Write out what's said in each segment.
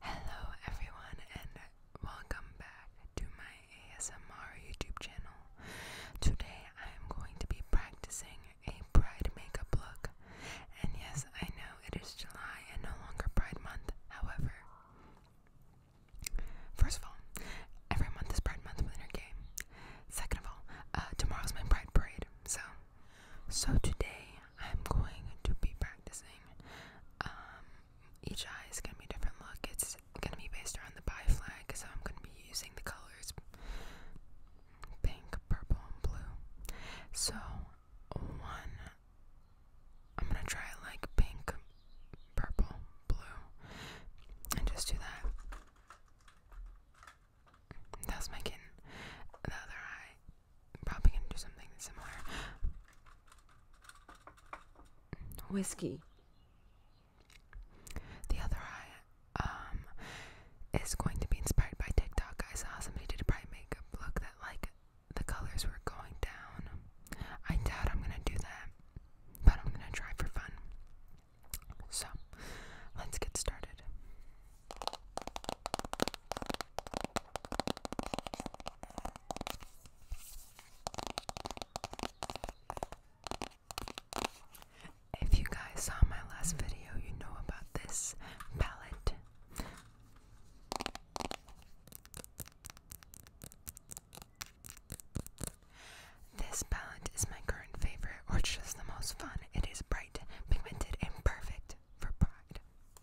Hello everyone and welcome back to my ASMR YouTube channel. Today I am going to be practicing a pride makeup look. And yes, I know it is July and no longer Pride Month. However, first of all, every month is Pride Month within your game. Second of all, uh, tomorrow is my Pride Parade. So, so today I'm going to be practicing. Um, each eye is gonna be different look. It's gonna be based around the bi flag, so I'm gonna be using the colors pink, purple, and blue. So one, I'm gonna try like pink, purple, blue, and just do that. That's making kitten. The other eye, I'm probably gonna do something similar. Whiskey. The other eye um is going to be inspired by TikTok. I saw somebody did a bright makeup look that like the colors were going down. I doubt I'm gonna do that, but I'm gonna try for fun. So let's get started. If you guys saw my last video, you know about this palette. This palette is my current favorite, or just the most fun. It is bright, pigmented, and perfect for pride.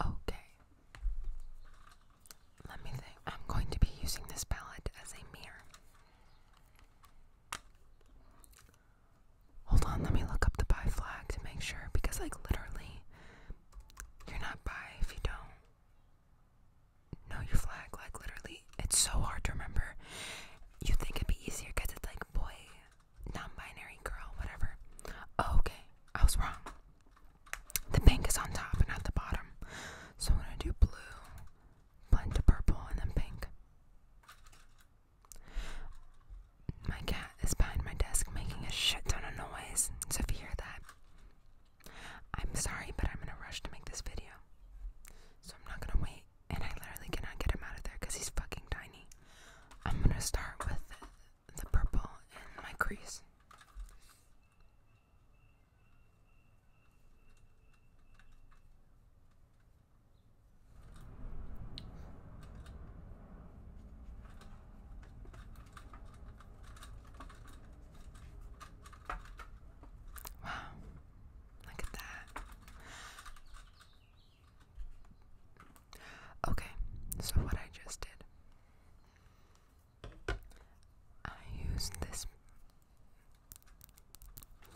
Okay. Let me think. I'm going to be using this palette as a mirror. Hold on, let me look up the buy flag to make sure because like literally you're not buy if you don't know your flag. Like literally, it's so hard to remember. You think it'd be easier because it's like boy, non-binary, girl, whatever. Oh, okay, I was wrong. The pink is on top and not the bottom. So I'm gonna do blue, blend to purple, and then pink. My cat is behind my desk making a shit ton of noise. So if you hear that, I'm sorry, but I'm in a rush to make this video. So I'm not gonna wait, and I literally cannot get him out of there because he's fucking tiny. I'm gonna start with the purple in my crease. Wow, look at that. Okay, so what I just did, I used this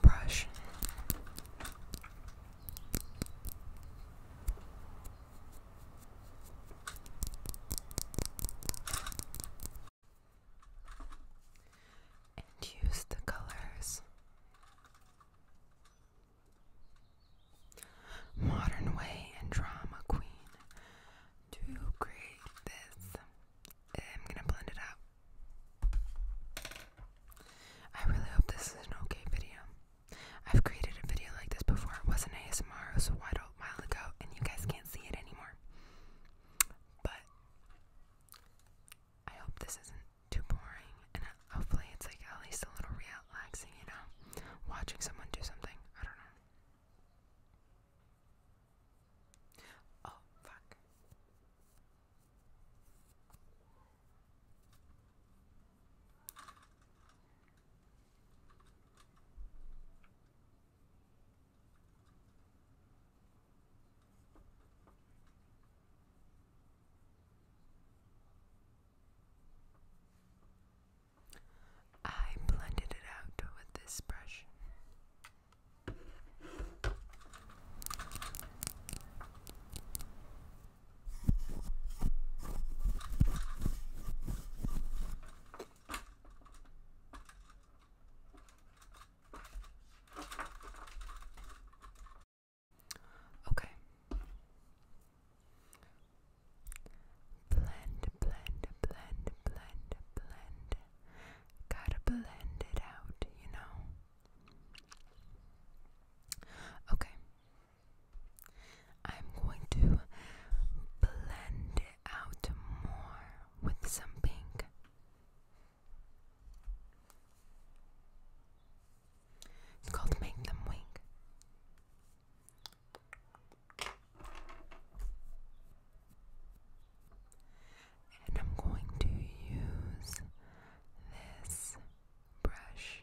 brush and use the colors. Modern Way and Drama Queen to create this. Eh, I'm gonna blend it out. I really hope this is an okay video. I've created a video like this before. It wasn't ASMR, it was a while ago, and you guys can't see it anymore. But I hope this isn't too boring, and hopefully it's like at least a little relaxing, you know, watching someone do something. I don't know. Oh, fuck. I blended it out with this brush. Okay. Blend, blend, blend, blend, blend. Gotta blend it out, you know? Okay. I'm going to blend out more with some pink. It's called Make Them Wink. And I'm going to use this brush.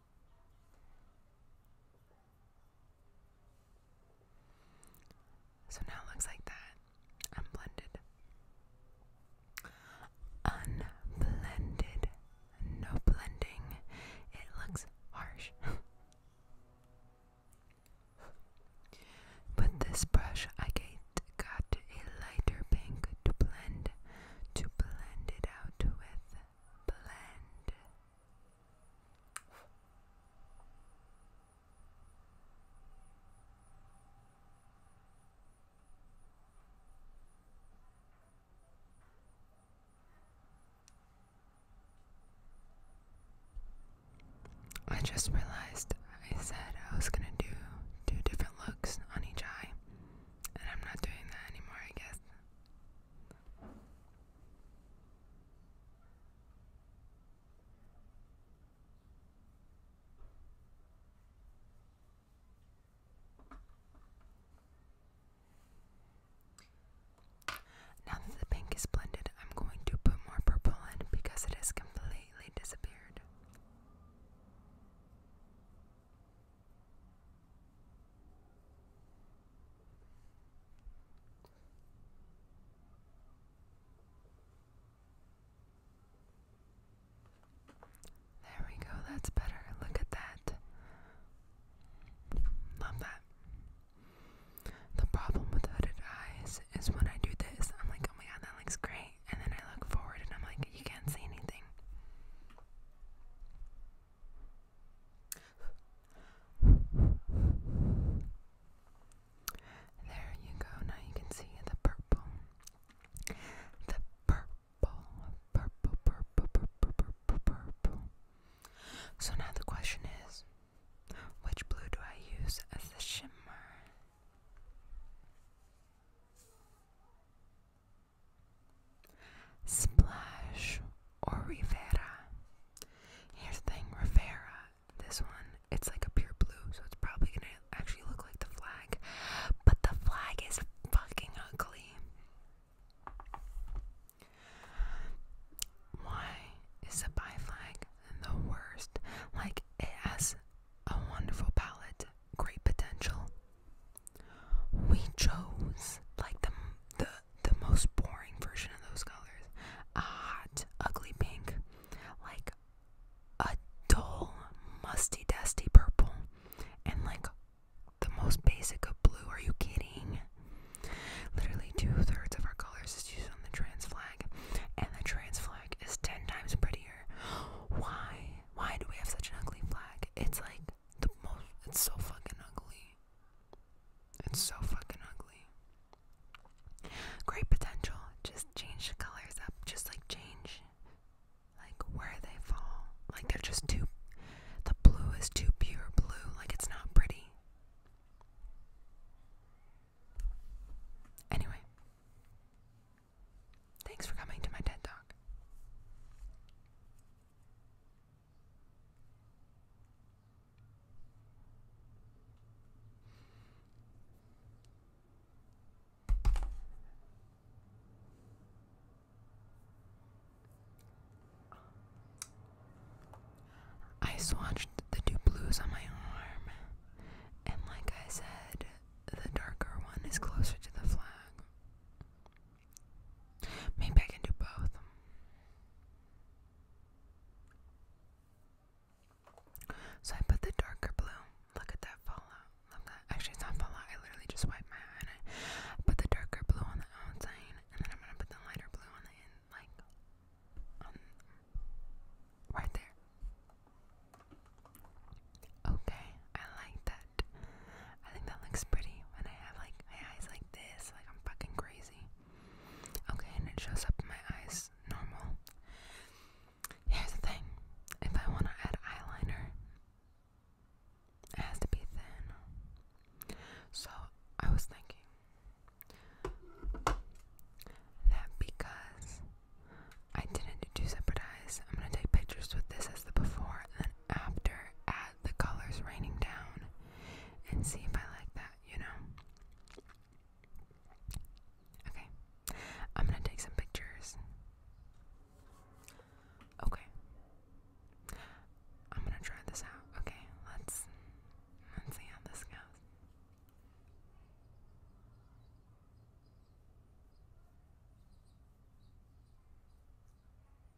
So now it looks like that. I'm blended. Unblended. No blending. It looks harsh. But this brush I get a lighter pink to blend to blend it out with blend I just realized I said I was gonna do two different looks on each eye, and I'm not doing that anymore, I guess. Now that the pink is blended, I'm going to put more purple in because it has completely disappeared. There we go, that's better. Look at that. Love that. The problem with hooded eyes is when I do this, I'm like, oh my god, that looks great. And then I look forward and I'm like, you can't see anything. There you go. Now you can see the purple. The purple, purple, purple, purple, purple. So now the question is which blue do I use as the shimmer? Splash or Rivera. Here's the thing, Rivera. This one, it's like a pure blue, so it's probably gonna actually look like the flag. But the flag is fucking ugly. Why is the bi flag the worst? Like, it has a wonderful palette, great potential, we chose like the the the most boring version of those colors. A hot, ugly pink, like a dull, musty, dusty purple, and like the most basic of blue. Are you kidding? Literally two thirds of our colors is used on the trans flag, and the trans flag is ten times prettier. Why? Why do we have such an ugly flag? It's like the most. It's so fucking ugly. It's so fucking ugly. Great potential. Just change the colors up. Just like change like where they fall. Like they're just too the blue is too pure blue. Like it's not pretty. Anyway. Thanks for coming to my TED Talk. I swatched the two blues on my arm, and like I said, the darker one is closer to the flag. Maybe I can do both. So I put the darker blue. Look at that fallout. Look at actually it's not fallout. I literally just wiped my eye I put the darker blue on the outside, and then I'm gonna put the lighter blue on the in, like right there. Okay, I like that. I think that looks pretty when I have like my eyes like this, like I'm fucking crazy. Okay, and it shows up in my eyes normal. Here's the thing if I want to add eyeliner, it has to be thin. So I was thinking that because I didn't do separate eyes, I'm gonna take pictures with this as the before and after add the colors raining down and see if I like that, you know? Okay. I'm gonna take some pictures. Okay. I'm gonna try this out. Okay, let's let's see how this goes.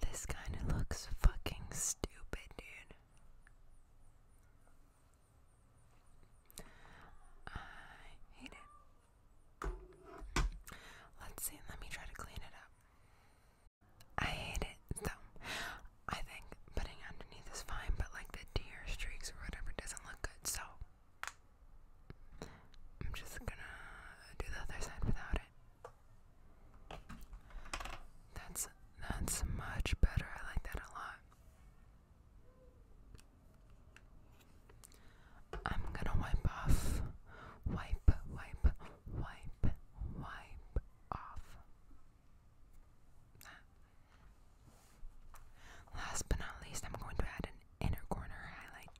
This kind of looks fucking stupid, dude. I hate it. Let's see, let me try to clean it up. I hate it though. I think putting underneath is fine, but like the tear streaks or whatever doesn't look good, so I'm just gonna do the other side without it. That's that's much better. I like that a lot. I'm gonna wipe off. Wipe, wipe, wipe, wipe off. Last but not least, I'm going to add an inner corner highlight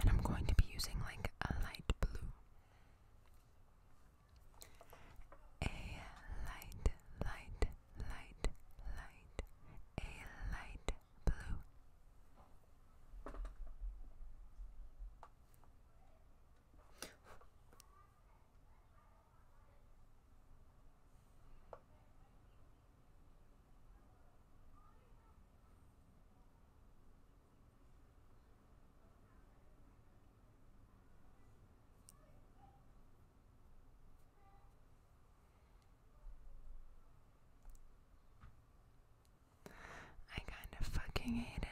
and I'm going to be using like a light blue. A light, light, light, light, a light blue. I kind of fucking hate it.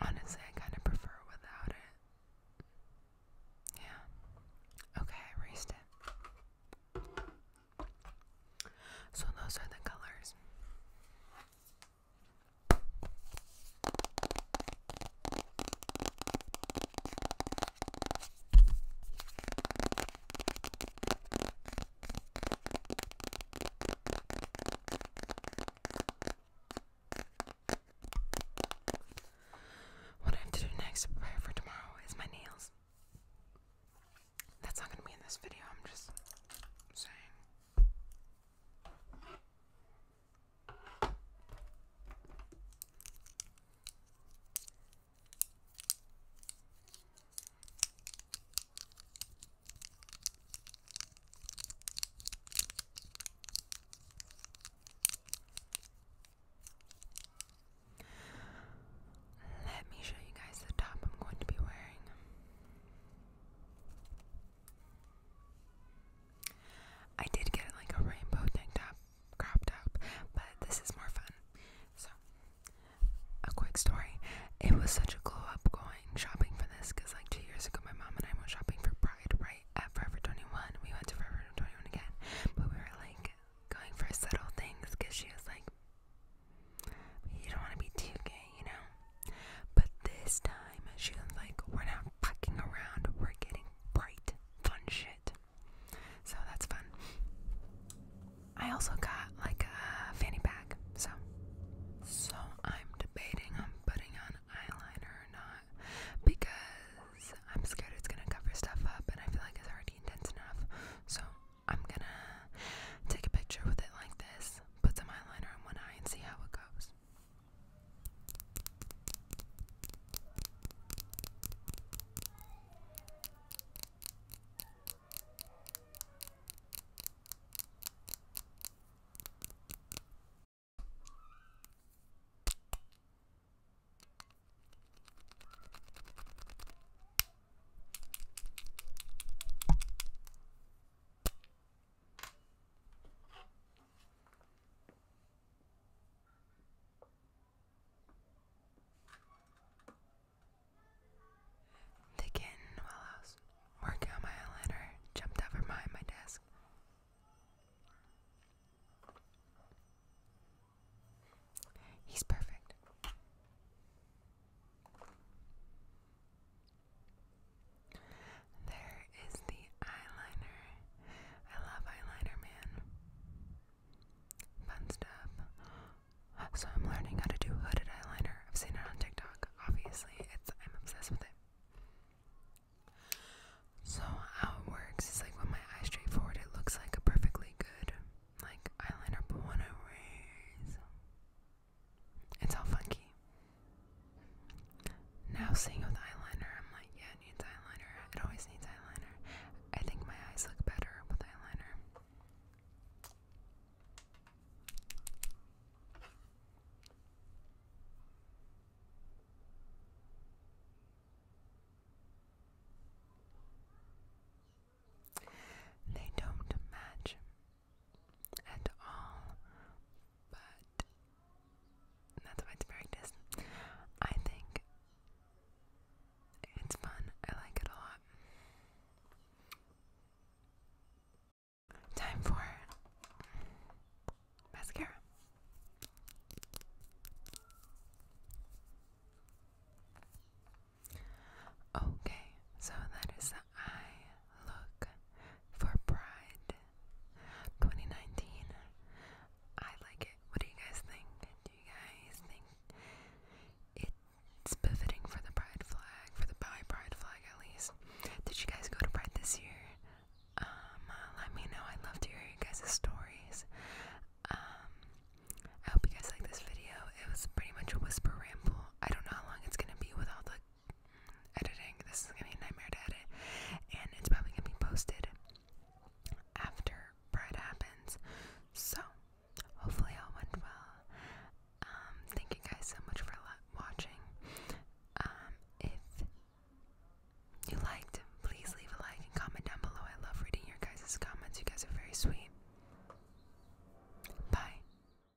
Honestly, I kind of prefer without it. Yeah. Okay, I erased it. So those are the colors. What I have to do next prepare for tomorrow is my nails. That's not going to be in this video, I'm just saying. Let me show you guys the top I'm going to be wearing. I did get it like a rainbow tank top, crop top, but this is more fun. So, a quick story. It was such a glow up going shopping for this because like two years ago, my mom and I went shopping for Pride, right? At Forever 21. We went to Forever 21 again, but we were like going for subtle things because she was like, you don't want to be too gay, you know? But this time, she was like, we're not fucking around, we're getting bright, fun shit. So that's fun. I also got like a fanny pack, so. So I'm debating on putting on eyeliner or not because I'm scared it's gonna cover stuff up and I feel like it's already intense enough. So I'm gonna take a picture with it like this Put some eyeliner on one eye and see how it goes. Thick in while I was working my eyeliner, jumped over behind my desk. He's perfect. There is the eyeliner. I love eyeliner, man. Fun So I'm learning how to do hooded eyeliner. I've seen it on TikTok. Obviously, it's I'm obsessed with it. So how it works is like when my eye's straight forward, it looks like a perfectly good like eyeliner, but when I raise, it's all funky. Now seeing with eyeliner, I'm like, yeah, it needs eyeliner. It always needs eyeliner. I think my eyes look better with eyeliner. They don't match at all, but that's why it's practice. I think it's fun, I like it a lot. Time for mascara. Okay, so I look for Pride 2019. I like it. What do you guys think? Do you guys think it's befitting for the Pride flag, for the bi Pride flag at least? Did you guys go to Pride this year? Um, let me know. i love to hear you guys' stories. Um, I hope you guys like this video. It was pretty much a whisper ramble. I don't know how long it's gonna be with all the editing. This is gonna be a nightmare to edit, and it's probably gonna be posted after Pride happens. So hopefully all went well. Um, thank you guys so much for watching. Um, if you liked, please leave a like and comment down below. I love reading your guys' comments. You guys are very sweet. Bye.